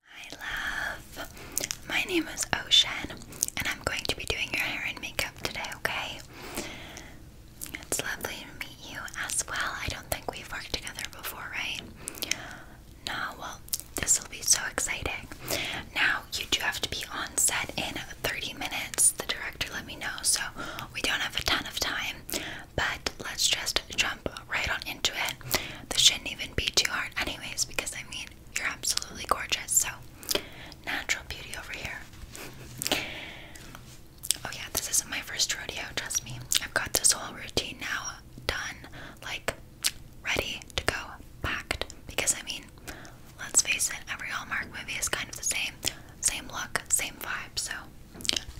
Hi love, my name is Ocean and I'm going to be doing your hair and makeup today, okay? It's lovely to meet you as well. I don't think we've worked together before, right? No, well, this will be so exciting. Now, you do have to be on set in 30 minutes. The director let me know, so we don't have a ton of time, but let's just jump right on into it. This shouldn't even be too hard, anyways, because I mean, you're absolutely gorgeous. So, natural beauty over here. oh, yeah, this isn't my first rodeo, trust me. I've got this whole routine now done, like ready to go, packed. Because I mean, let's face it, every Hallmark movie is kind of the same. Same look, same vibe, so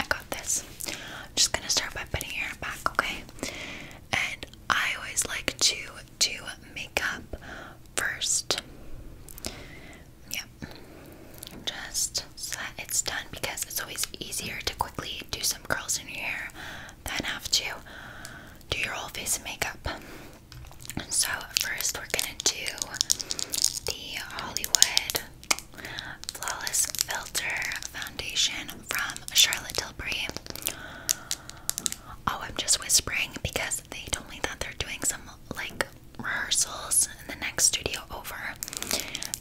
I got this. I'm just gonna start by putting your hair back, okay? and I always like to do makeup first. Yep. Just so that it's done because it's always easier to quickly do some curls in your hair than have to do your whole face of makeup. So first we're gonna do the Hollywood Flawless Filter Foundation from Charlotte Tilbury. Oh, I'm just whispering because they told me that they're doing some like rehearsals in the next studio over.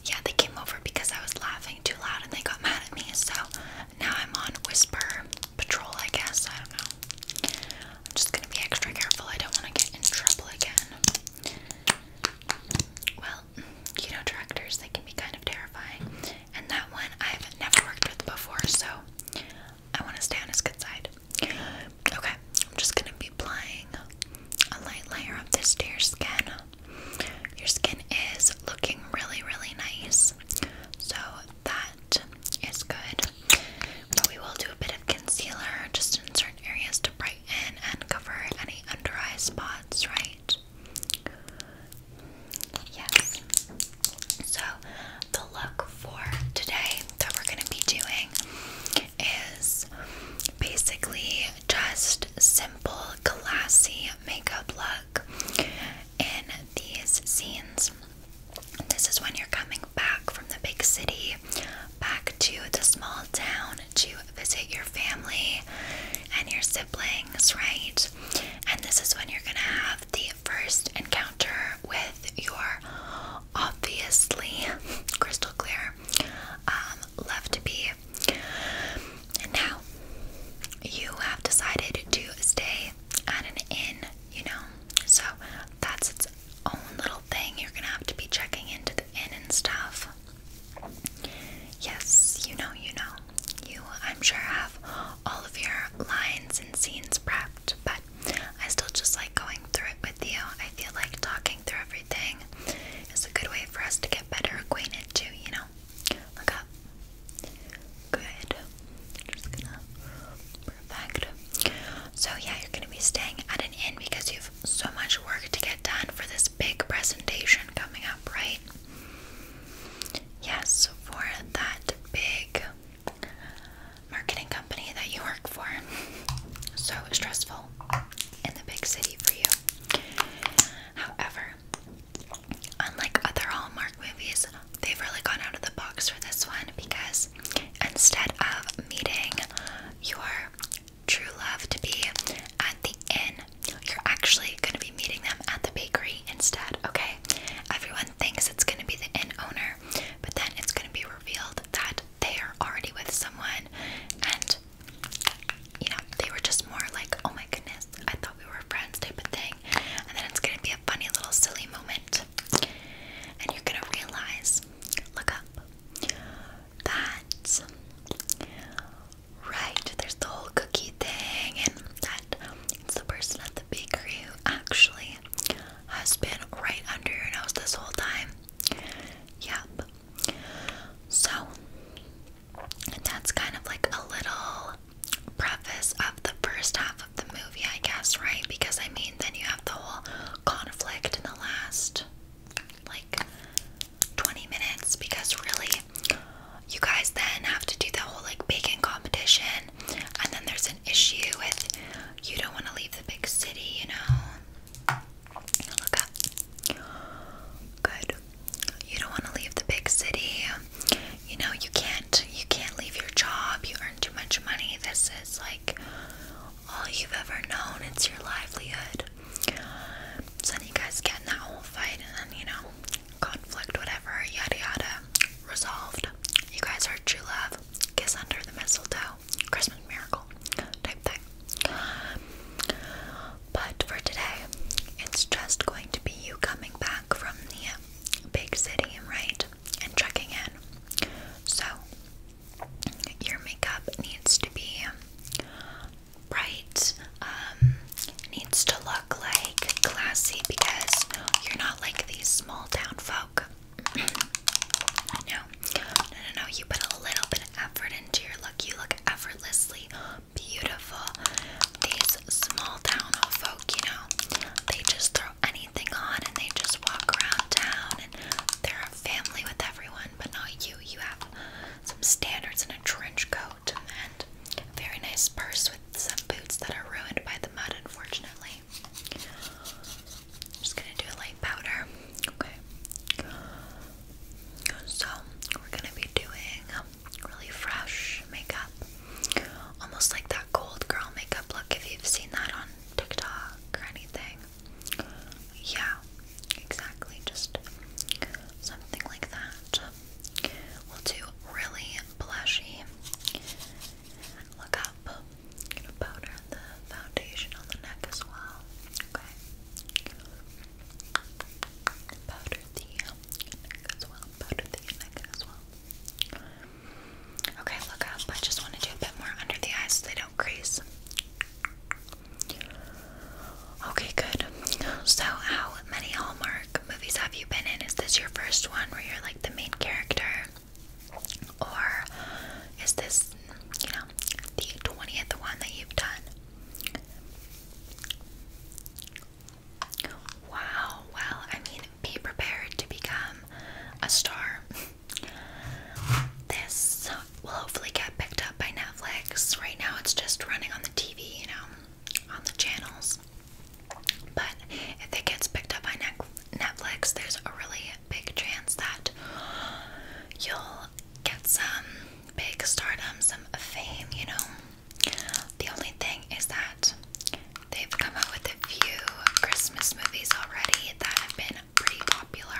Yeah, they came over because I was laughing too loud and they got mad at me. So now I'm on whisper patrol, I guess. I don't know. I'm just gonna be extra careful. I don't want to get in trouble again. Well, you know, directors, they can be kind of terrifying and that one I've never worked with before, so I want to stay on his good side. Okay, I'm just gonna be applying a light layer of this to your skin. Your skin is looking really, really nice, so that is good. But we will do a bit of concealer just in certain areas to brighten and cover any under eye spots, right? Yes. So, the look for today that we're going to be doing is basically just simple, classy makeup look in these scenes. This is when you're coming back from the big city, back to the small town to visit your family and your siblings, right? And this is when you're going to have the first encounter with your obviously crystal clear um, left bee. And now you have decided to stay at an inn, you know, so that's its own little thing. You're going to have to be checking into the inn and stuff. Yes, you know, you know. You, I'm sure, have all of your lines and scenes prepped, but I still just like going through it with you. I feel like talking through everything is a good way for us to get better acquainted, too, you know? Look Good. Just gonna. Perfect. So, yeah, you're gonna be staying at an inn because you've so much work to get done for this big presentation coming up, right? Yes, for that big marketing company that you work for. So stressful in the big city for you. However, unlike other Hallmark movies, they've really gone out of the box for this one because instead of meeting your true love to be at the inn, you're actually going to meeting them at the bakery instead, okay? Everyone thinks it's gonna be the inn owner, but then it's gonna be revealed that they are already with someone and you know, they were just more like, oh my goodness, I thought we were friends type of thing. And then it's gonna be a funny little silly moment. And you're gonna realize, look up, that right, there's the whole cookie thing and that it's the person at the bakery who actually has been right under your nose this whole time. Yep. So, that's kind of like a little preface of the first half of the movie, I guess, right? Because I mean, then you have the whole conflict in the last like 20 minutes because really you guys then have to do the whole like bacon competition, and then there's an issue with you don't want to leave the big city, you know. Look up. Good. You don't want to leave the big city. You know you can't. You can't leave your job. You earn too much money. This is like all you've ever known. It's your livelihood. So then you guys get in that whole fight, and then you know conflict, whatever, yada yada, resolved. You guys are true love, kiss under the mistletoe, Christmas miracle type thing. But for today, it's just going to be you coming back from the big city, right? And checking in. So, your makeup needs to be bright, um, needs to look like classy because you're not like these small town folk. no, no, no, no. You put a little bit of effort into your look. You look effortlessly beautiful. These small town folk, you know, they just throw anything on and they just walk around town and they're a family with everyone, but not you. You have some standards and a trench coat very nice purse with some boots that are ruined by the mud, unfortunately. just gonna do a light powder, okay? So, we're gonna be doing really fresh makeup, almost like that cold girl makeup look if you've seen that on TikTok or anything. Yeah, exactly, just something like that. We'll do really blushy. Look up. gonna powder the foundation on the neck as well. Okay. Powder the neck as well. Powder the neck as well. Okay, look up. I just want to do a bit more under the eyes so they don't crease. Okay, good. So, how many Hallmark movies have you been in? Is this your first one where you're like the main character? Or is this, you know, the 20th one that you've done? Wow, well, I mean, be prepared to become a star. This will hopefully get picked up by Netflix. Right now, it's just running on the TV, you know, on the channels. But if it gets picked up by Netflix, there's a really big chance that you'll get some big stardom, some fame, you know. The only thing is that they've come up with a few Christmas movies already that have been pretty popular.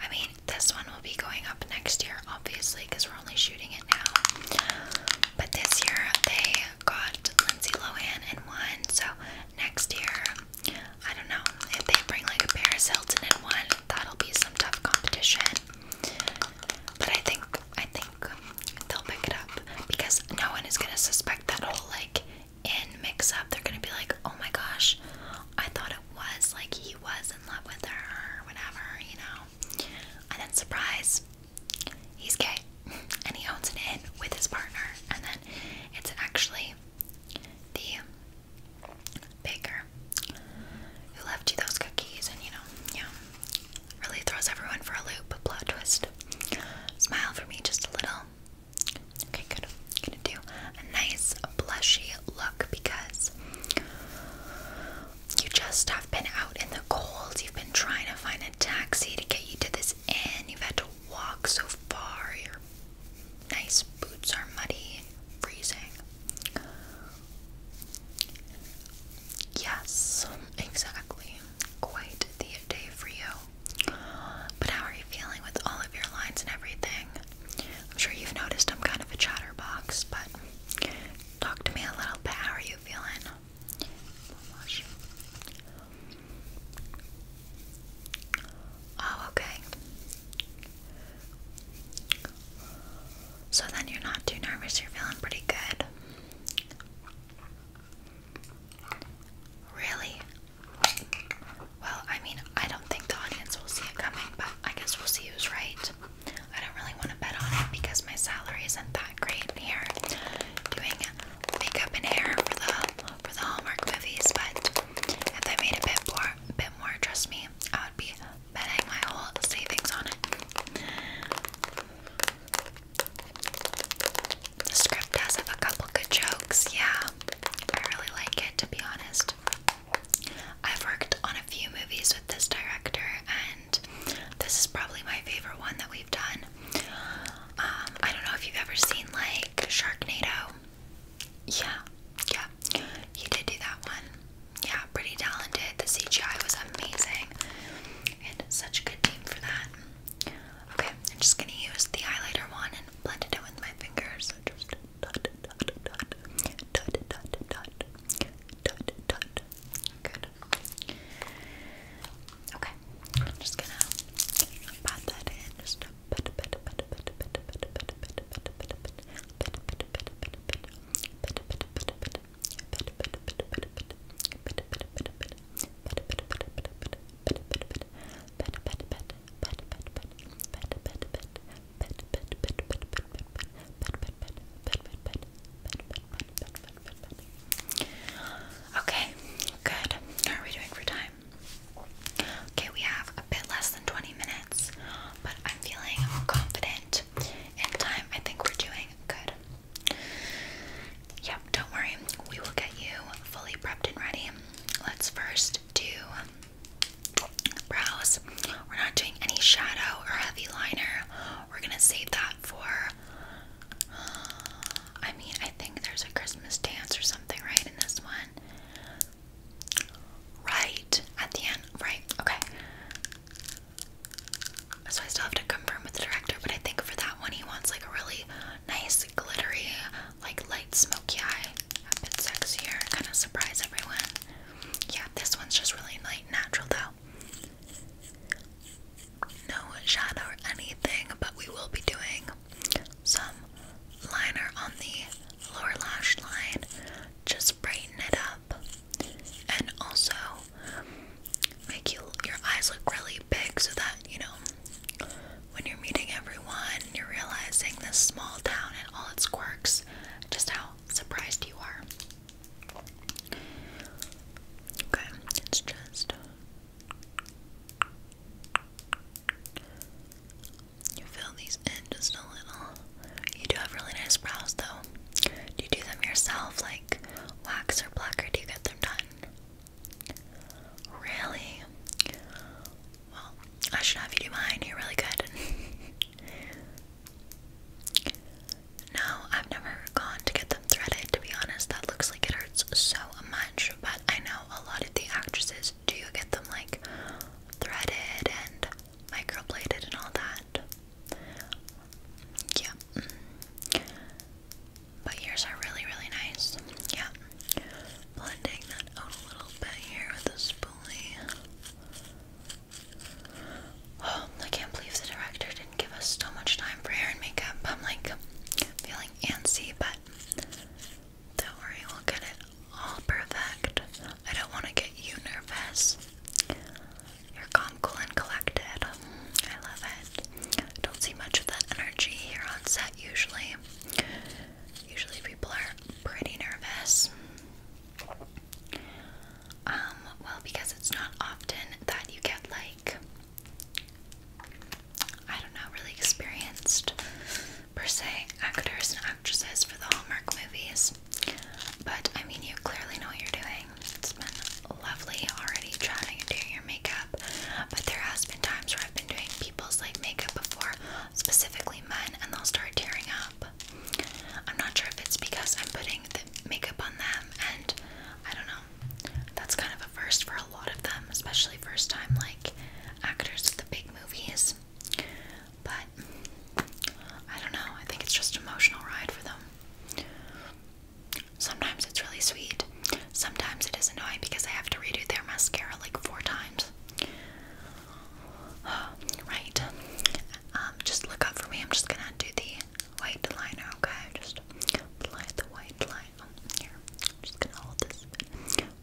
I mean, this one will be going up next year, obviously, because we're only shooting it now. But this year they got Lindsay Lohan in one, so next year, I don't know, if they bring like a Paris Hilton in one, that'll be some tough competition. But I think I think they'll pick it up because no one is gonna suspect that whole like in mix up. They're gonna be like, oh my gosh, I thought it was like he was in love with her or whatever, you know. And then surprise, he's gay and he owns an inn with his partner and then it's actually the baker who left you those cookies and you know yeah really throws everyone for a loop plot twist smile for me just a little okay good gonna do a nice blushy look because you just have been out in the cold you've been trying to find a taxi to get you to this and you've had to walk so far, your nice boots are muddy and freezing. Yes, exactly. Quite the day for you. But how are you feeling with all of your lines and everything? I'm sure you've noticed I'm kind of a chatterbox, but talk to me a little bit. How are you feeling? Oh, okay. So then you're not too nervous, you're feeling pretty good. Really? Well, I mean, I don't think the audience will see it coming, but I guess we'll see who's right. I don't really want to bet on it because my salary isn't that great here doing makeup and hair for the for the Hallmark movies, but if they made a bit more, bit more, trust me, I would be betting my whole savings on it. The script does have a couple good jokes, yeah. I really like it, to be honest. I've worked on a few movies with this director, and this is probably my favorite one that we've done. I don't know if you've ever seen like Sharknado. Yeah, yeah, he did do that one. Yeah, pretty talented. The CGI was amazing, and such a good team for that. Okay, I'm just gonna use the highlighter one and blend it in with my fingers. Okay. I'm just gonna pop that in. Okay, good. How are we doing for time? Okay, we have a bit less than 20 minutes, but I'm feeling confident in time. I think we're doing good. Yep, don't worry. We will get you fully prepped and ready. Let's first do brows. We're not doing any shadow or heavy liner. We're gonna save that for I mean, I think there's a Christmas dance or something, right? In this one, right at the end, right? Okay. So I still have to confirm with the director, but I think for that one, he wants like a really nice, glittery, like light smoky eye, a bit sexier, kind of surprise everyone. Yeah, this one's just really light, natural though no shadow or anything, but we will be doing some liner on the lower lash line. Just brighten it up and also make you, your eyes look really big so that, you know, when you're meeting everyone, you're realizing this small town and all its quirks, just how surprised you are. Okay, it's just you fill these in just a little. You do have really nice brows though. Do you do them yourself, like wax or black, or do you get them done? Really? Well, I should have you do mine. You're really good. no, I've never gone to get them threaded, to be honest. That looks like it hurts so much but I know a lot of the actresses do get them like threaded and microbladed and all that. Yeah. But yours are really, really nice. Yeah. Blending that out a little bit here with a spoolie. Oh, I can't believe the director didn't give us so much time for hair and makeup. I'm like feeling antsy, but don't worry, we'll get it all perfect. I don't want to get you nervous. You're calm, cool, and collected. I love it. I don't see much of that energy here on set usually. Usually people are pretty nervous. Um, well, because it's not often that you get like I don't know, really experienced per se actors and actresses for the Hallmark movies. But I mean, you clearly know what you're doing. It's been lovely already chatting and doing your makeup, but there has been times where I've been doing people's like makeup before, specifically men, and they'll start tearing up. I'm not sure if it's because I'm putting the makeup on them, and I don't know, that's kind of a first for a lot of them, especially first time like actors at the big movies. But I don't know, I think it's just an emotional ride for them. Sometimes it's really sweet. Sometimes it is annoying because I have to redo their mascara like four times. right. Um, just look up for me. I'm just gonna do the white liner, okay? Just apply the white liner here, I'm just gonna hold this.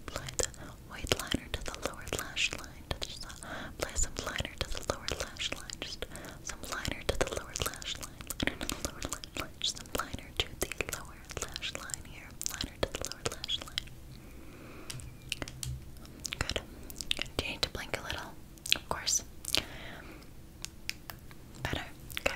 Apply the white liner to the lower lash line. Just uh, some liner to the lower lash line. Just some liner to the lower lash line. Liner to the lower lash line. some liner to the lower lash line here. Liner to the lower lash line. Good. Do you need to blink a little? Of course. Better. Okay.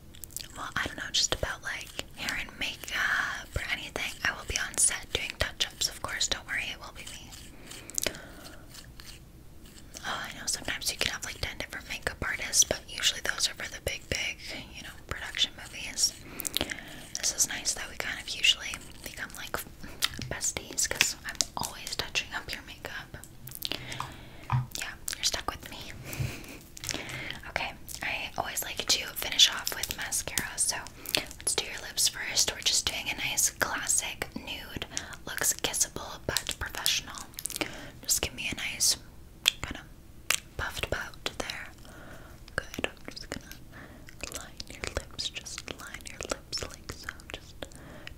well, I don't know, just about like hair and makeup or anything, I will be on set doing touch ups, of course. Don't worry, it will be me. Oh, I know sometimes you can have like 10 different makeup artists, but usually those are for the big, big, you know, production movies. This is nice that we kind of usually become like besties because I'm always touching up your makeup. Yeah, you're stuck with me. Okay, I always like to finish off with mascara, so let's do your lips first. We're just doing a nice classic nude, looks kissable but professional. Just give me a nice kind of puffed out there. Good. I'm just gonna line your lips, just line your lips like so. Just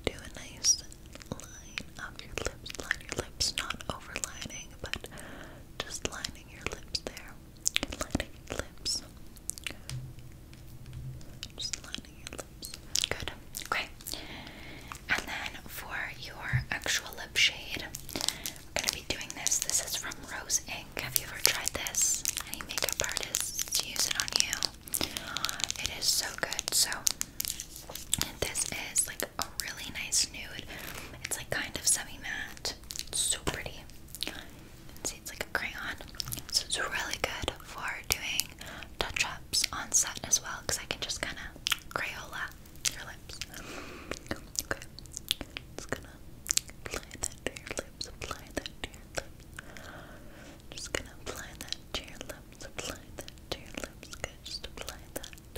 do a nice line up your lips, line your lips, not overlining but just lining your lips there. Lining your lips. Just lining your lips. Good. Okay. And then for your actual lip shade, we're going to be doing this. This is from Rose Ink. Have you ever tried this? Any makeup artists use it on you? It is so good. So this is like a really nice nude. It's like kind of semi matte. It's so pretty. see it's like a crayon. So it's really good for doing touch ups on set as well because I can just kind of Crayola your lips. Okay. Just gonna apply that to your lips. Apply that to your lips. Just gonna apply that to your lips. Apply that to your lips. Good. Just apply that. Go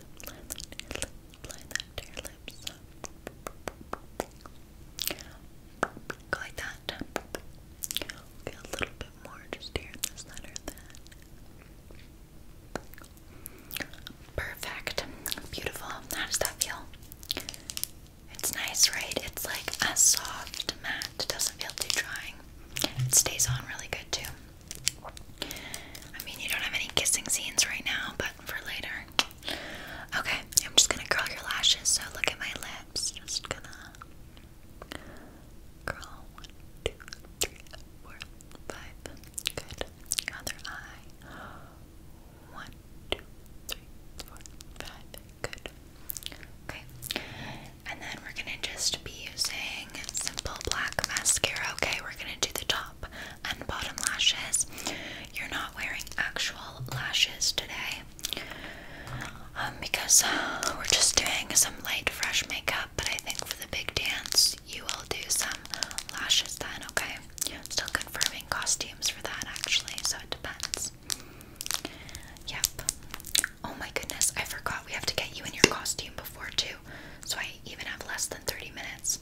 like that. a little bit more just here in the Perfect. Beautiful. How does that feel? It's nice, right? It's like a soft matte. It doesn't feel too drying. It stays on really good too. I mean, you don't have any kissing scenes right now, but for later. Okay, I'm just gonna curl your lashes. So look at my lips. Just gonna curl one, two, three, four, five. Good. Other eye. One, two, three, four, five. Good. Okay. And then we're gonna just be using simple black mascara. Okay, we're gonna do the top and bottom lashes. You're not wearing actual lashes today um, because uh, we're just doing some light, fresh makeup. But I think for the big dance, you will do some lashes then, okay? Still confirming costumes for that actually, so it depends. Yep. Oh my goodness, I forgot we have to get you in your costume before too. So I even have less than 30 minutes.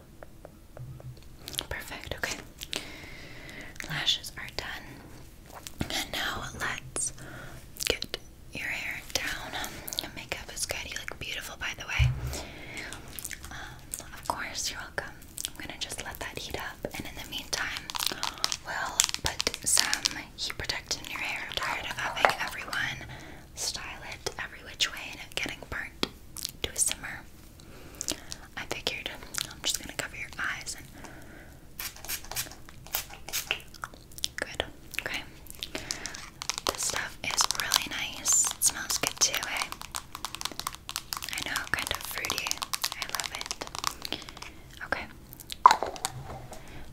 Perfect, okay. Lashes are done. And now let's get your hair down. Your makeup is good. You look beautiful, by the way. Um, of course, you're welcome. I'm gonna just let that heat up, and in the meantime, we'll put some heat protectant in your hair. I'm tired of having everyone style it every which way and getting burnt to a simmer. I figured I'm just gonna cover your eyes and good. Okay. This stuff is really nice. smells good too, eh? I know, kind of fruity. I love it. Okay.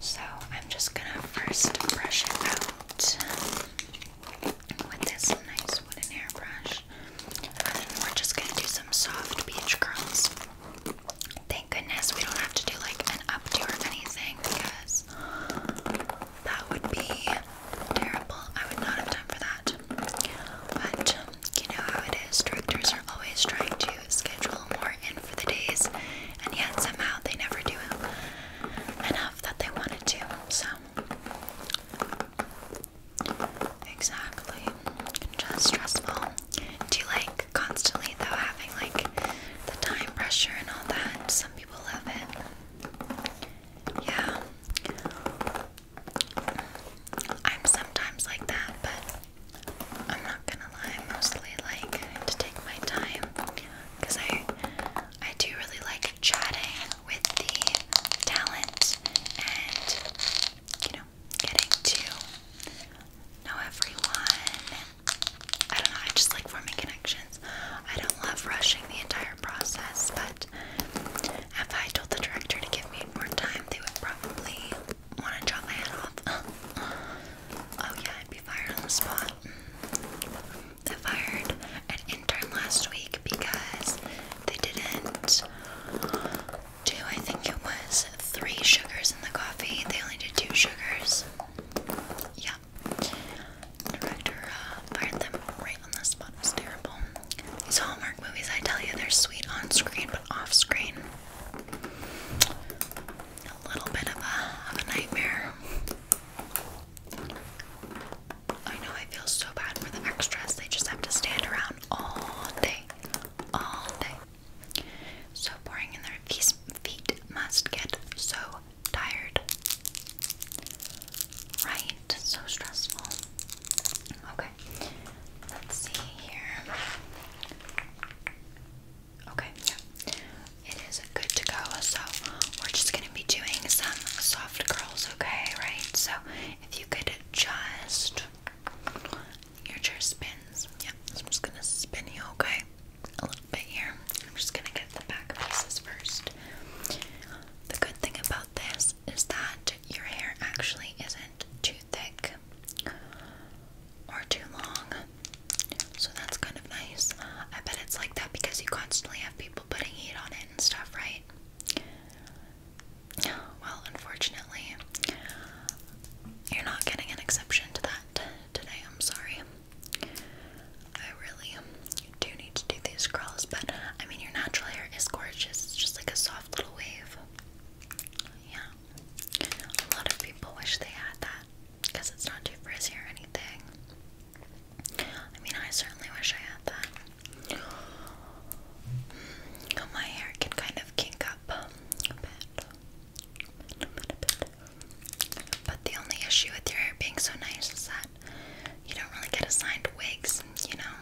So I'm just gonna first brush it out with this nice wooden hairbrush. And we're just gonna do some soft beach curls. Thank goodness we don't have to do like an updo or anything because that would be terrible. I would not have time for that. But you know how it is, directors are always trying to schedule more in for the days, and yet somehow they never do enough that they wanted to. So Exactly. Just stressful. Do you like constantly though having like the time pressure and all that? Some people love it. Yeah. I'm sometimes like that, but I'm not gonna lie, I mostly like to take my time because I I do really like chatting with the talent and, you know, getting to know everyone. I don't know, I just like forming connections. I don't love rushing the entire process, but if I told the director to give me more time, they would probably want to chop my head off. oh, yeah, I'd be fired on the spot. I fired an intern last week because they didn't do, I think it was three sugars in the coffee. They only did two sugars. Yeah. Director uh, fired them right on the spot. terrible. These Hallmark movies, I tell you, they're sweet on screen, but off screen. A little bit of a nightmare. I know I feel so bad for the extras. They just have to stand around all day. All day. So boring and their feet must get so tired. Right? So stressful. Okay. Let's see here. Okay, yeah. It is good to go, so we're just be doing some soft curls, okay? Right? So if you could just your chair spins. Yeah, I'm just gonna spin you, okay? A little bit here. I'm just gonna get the back pieces first. The good thing about this is that your hair actually isn't too thick or too long. So that's kind of nice. I bet it's like that because you constantly have people putting heat on it and stuff, right? Well, unfortunately, you're not getting an exception to that today. I'm sorry. I really do need to do these curls, but I mean, your natural hair is gorgeous. It's just like a soft little wave. Yeah. A lot of people wish they had that because it's not too frizzy or anything. I mean, I certainly wish I had that. My hair can kind of kink up a bit. But the only issue with your hair being so nice is that you don't really get assigned wigs, you know?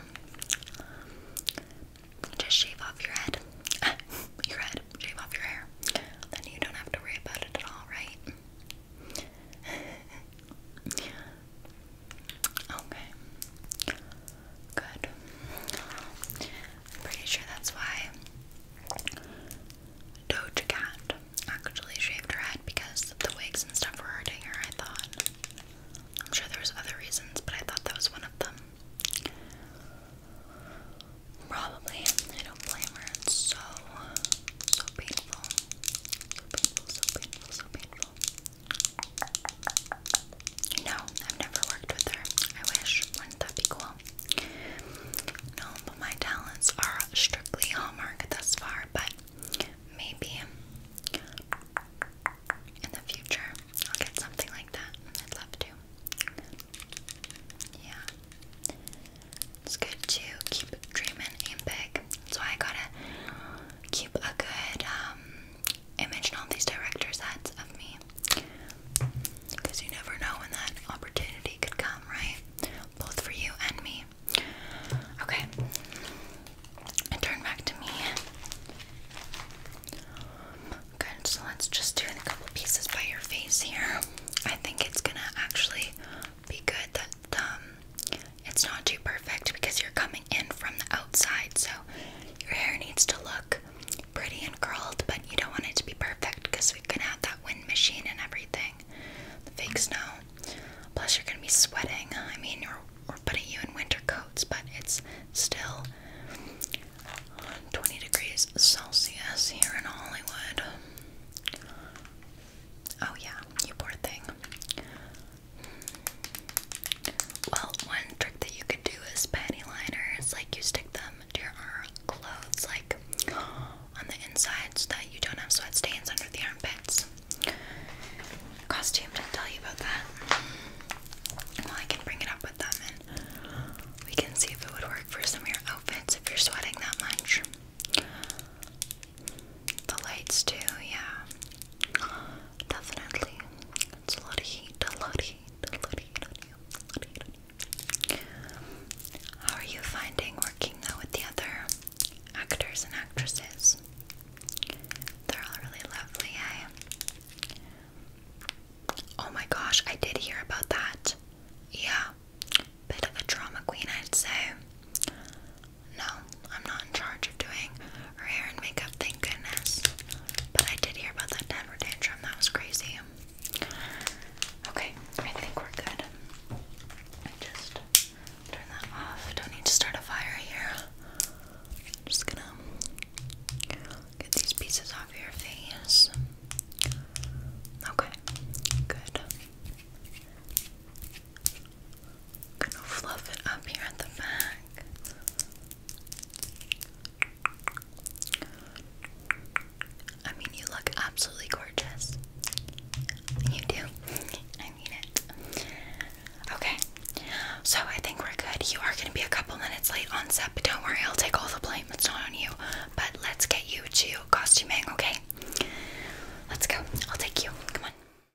Just shave off your head. your head. Shave off your hair. Then you don't have to worry about it at all, right? okay. Good. I'm pretty sure that's why Doja actually shaved her head because the wigs and stuff were hurting her, I thought. I'm sure there was other reasons, but I thought that was one of them. Probably. I don't blame her. It's so, so painful. So painful, so painful, no, I've never worked with her. I wish. Wouldn't that be cool? No, but my talents are strictly Hallmark thus far, but maybe in the future I'll get something like that. I'd love to. Yeah. It's good to keep dreaming and big. That's why I got it keep a good um, image in all these directors' heads of me. Because you never know when that opportunity could come, right? Both for you and me. Okay. And turn back to me. Okay, so let's just do a couple pieces by your face here. I think it's gonna actually be good that um it's not too perfect because you're coming in from the outside, so your hair needs to look pretty and curled, but you don't want it to be perfect because we can have that wind machine and everything. The fake snow. Plus, you're gonna be sweating. I mean, we're, we're putting you in winter coats, but it's still 20 degrees Celsius here in Hollywood. Oh, yeah, you poor thing. Well, one trick that you could do is panty liners. Like you stick them to your clothes, like on the inside, so that you don't have sweat stains under the armpits. Costume didn't tell you about that. Well, I can bring it up with them, and we can see if it would work for some of your outfits if you're sweating that much. The lights too, yeah. Definitely. It's a lot of heat, a lot of heat, a lot of heat How are you finding working though with the other actors and actresses? They're all really lovely, eh? Oh my gosh, I did hear about that. Yeah. Bit of a drama queen, I'd say. No, I'm not in charge of doing her hair and makeup, thank goodness. But I did hear about that Denver tantrum, that was crazy. Okay, I think we're good. Just turn that off. Don't need to start a fire here. just gonna get these pieces off your face. Okay, good gonna fluff it up here at the back. I mean, you look absolutely gorgeous. You do. I mean it. Okay, so I think we're good. You are gonna be a couple minutes late on set, but don't worry, I'll take all the blame. It's not on you. But let's get you to costuming, okay? Let's go. I'll take you. Come on.